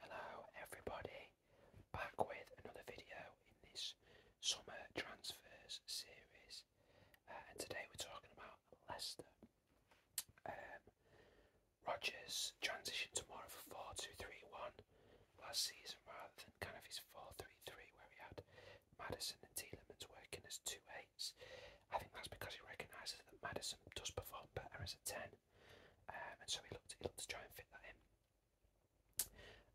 Hello everybody, back with another video in this summer transfers series uh, and today we're talking about Leicester. Um, Rogers transitioned to more of a 4-2-3-1 last season rather than kind of his 4-3-3 where he had Madison and Tielemans working as two eights. I think that's because he recognises that Madison does perform better as a 10 um, and so he looked, to try and fit that in.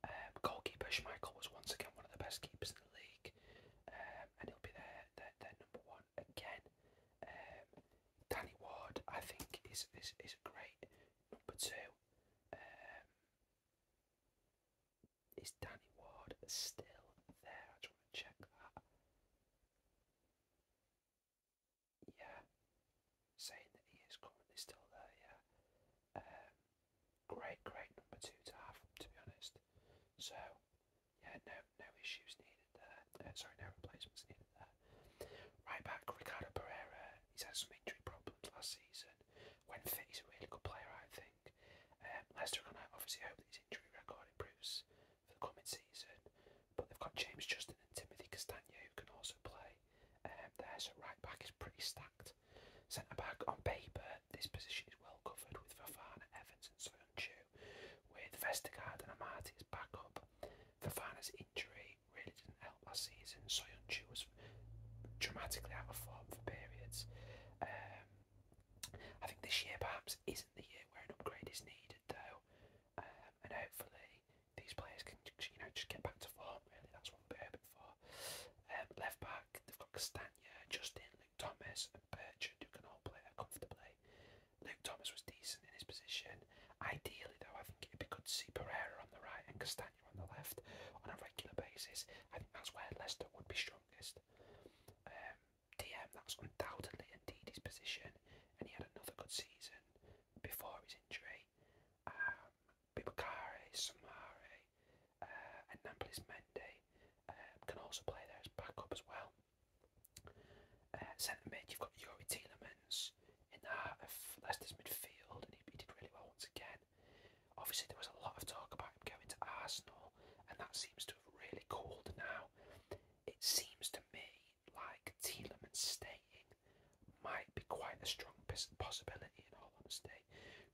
Um, goalkeeper Schmeichel was once again one of the best keepers in the league, um, and he'll be their, their, their number one again. Um, Danny Ward, I think, is, is, is a great number two. is Danny Ward still there? I just want to check that yeah, saying that he is currently still there, yeah. Um, great, great number two to have, to be honest. So, yeah, no, no issues needed there. Uh, sorry, no replacements needed there. Right back, Ricardo Pereira. He's had some injury problems last season. When fit, he's a really good player, I think. Um, Leicester are going to obviously hope that his injury record improves for the coming season. But they've got James Justin and Timothy Castagna who can also play um, there. So right back is pretty stacked. Centre back on paper, this position is well covered with Fafana, Evans, and Soyuncu, with Vestergaard and Amati as backup. Fafana's injury really didn't help last season. Soyuncu was dramatically out of form for periods. Um, I think this year perhaps isn't the year where an upgrade is needed, though. Um, and hopefully these players can you know just get back to form. Really, that's what we for. Um, left back, they've got Castagna, Justin, Luke Thomas, and Bertrand who can all play comfortably. Luke Thomas was decent in his position. Ideally, though, I think it'd be good to see Pereira on the right and Castagna on the left on a regular basis. I think that's where Leicester would be strongest. Um, DM, That's undoubtedly indeed his position, and he had another good season before his injury. Um, Samari, uh, and Namplis Mende um, can also play there as backup as well. Uh, centre mid, you've got Yuri Tielemans in the heart of Leicester's midfield, and he, he did really well once again. Obviously, there was a lot of talk about him going to Arsenal, and that seems to have really cooled now. It seems to to me like Telemann staying might be quite a strong possibility in all honesty,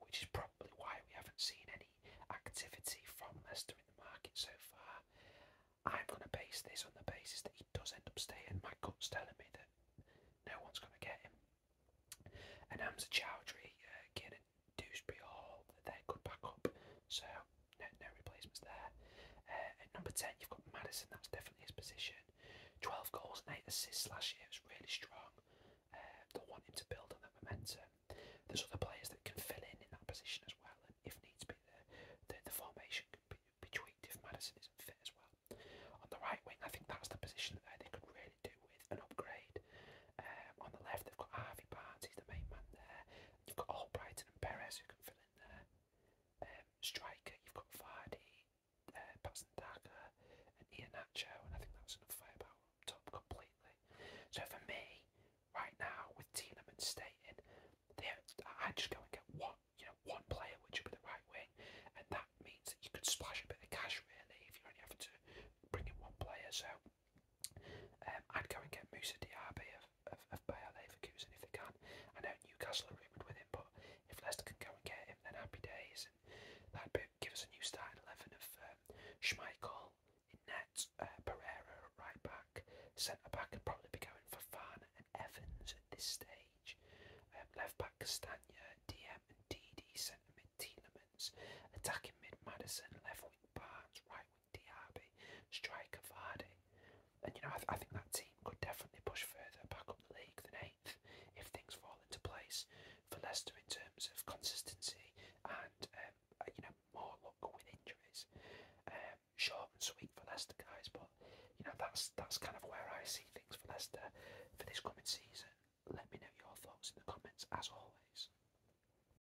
which is probably why we haven't seen any activity from Leicester in the market so far. I'm going to base this on the basis that he does end up staying. My gut's telling me that no one's going to get him. And Hamza Chowdhury, uh, Ginn and Dewsbury Hall, they're good back up. So no, no replacements there. Uh, at number 10, you've got Madison, that's definitely his position. 12 goals and 8 assists last year, it was really strong. Uh, they want him to build on that momentum. There's other players that can fill in in that position as well, and if needs be, the, the, formation can be, be tweaked if Madison isn't fit as well. On the right wing, I think that's the position that they could really do with an upgrade. Uh, on the left, they've got Harvey Barnes, he's the main man there. You've got Albrighton and Perez who can fill in there. Um, striker, you've got Vardy, uh, Patson Daka, and and I think that's enough firepower up top completely. So for me, right now with and Tielemans there I'd just go and get one, you know, one player which would be the right wing, and that means that you could splash a bit of cash really if you're only having to bring in one player. So um, I'd go and get Moussa Diaby of, of, of Bayer Leverkusen if they can. I know Newcastle are rumoured with him, but if Leicester can go and get him, then happy days. And that'd be, give us a new starting 11 of um, Schmeichel in net, uh, Pereira at right back, centre back would probably be going for Farn and Evans at this stage, um, left back Castagna, DM and DD, centre mid Tielemans, attacking mid Madison, left wing Barnes, right with Diaby, striker Vardy, and you know I, th I think that team could definitely push further back up the league than eighth if things fall into place for Leicester in terms of consistency and um, uh, you know more luck with injuries. Um, short and sweet for Leicester guys, but you know that's that's kind of where I see things for Leicester for this coming season. Let me know your thoughts in the comments as always.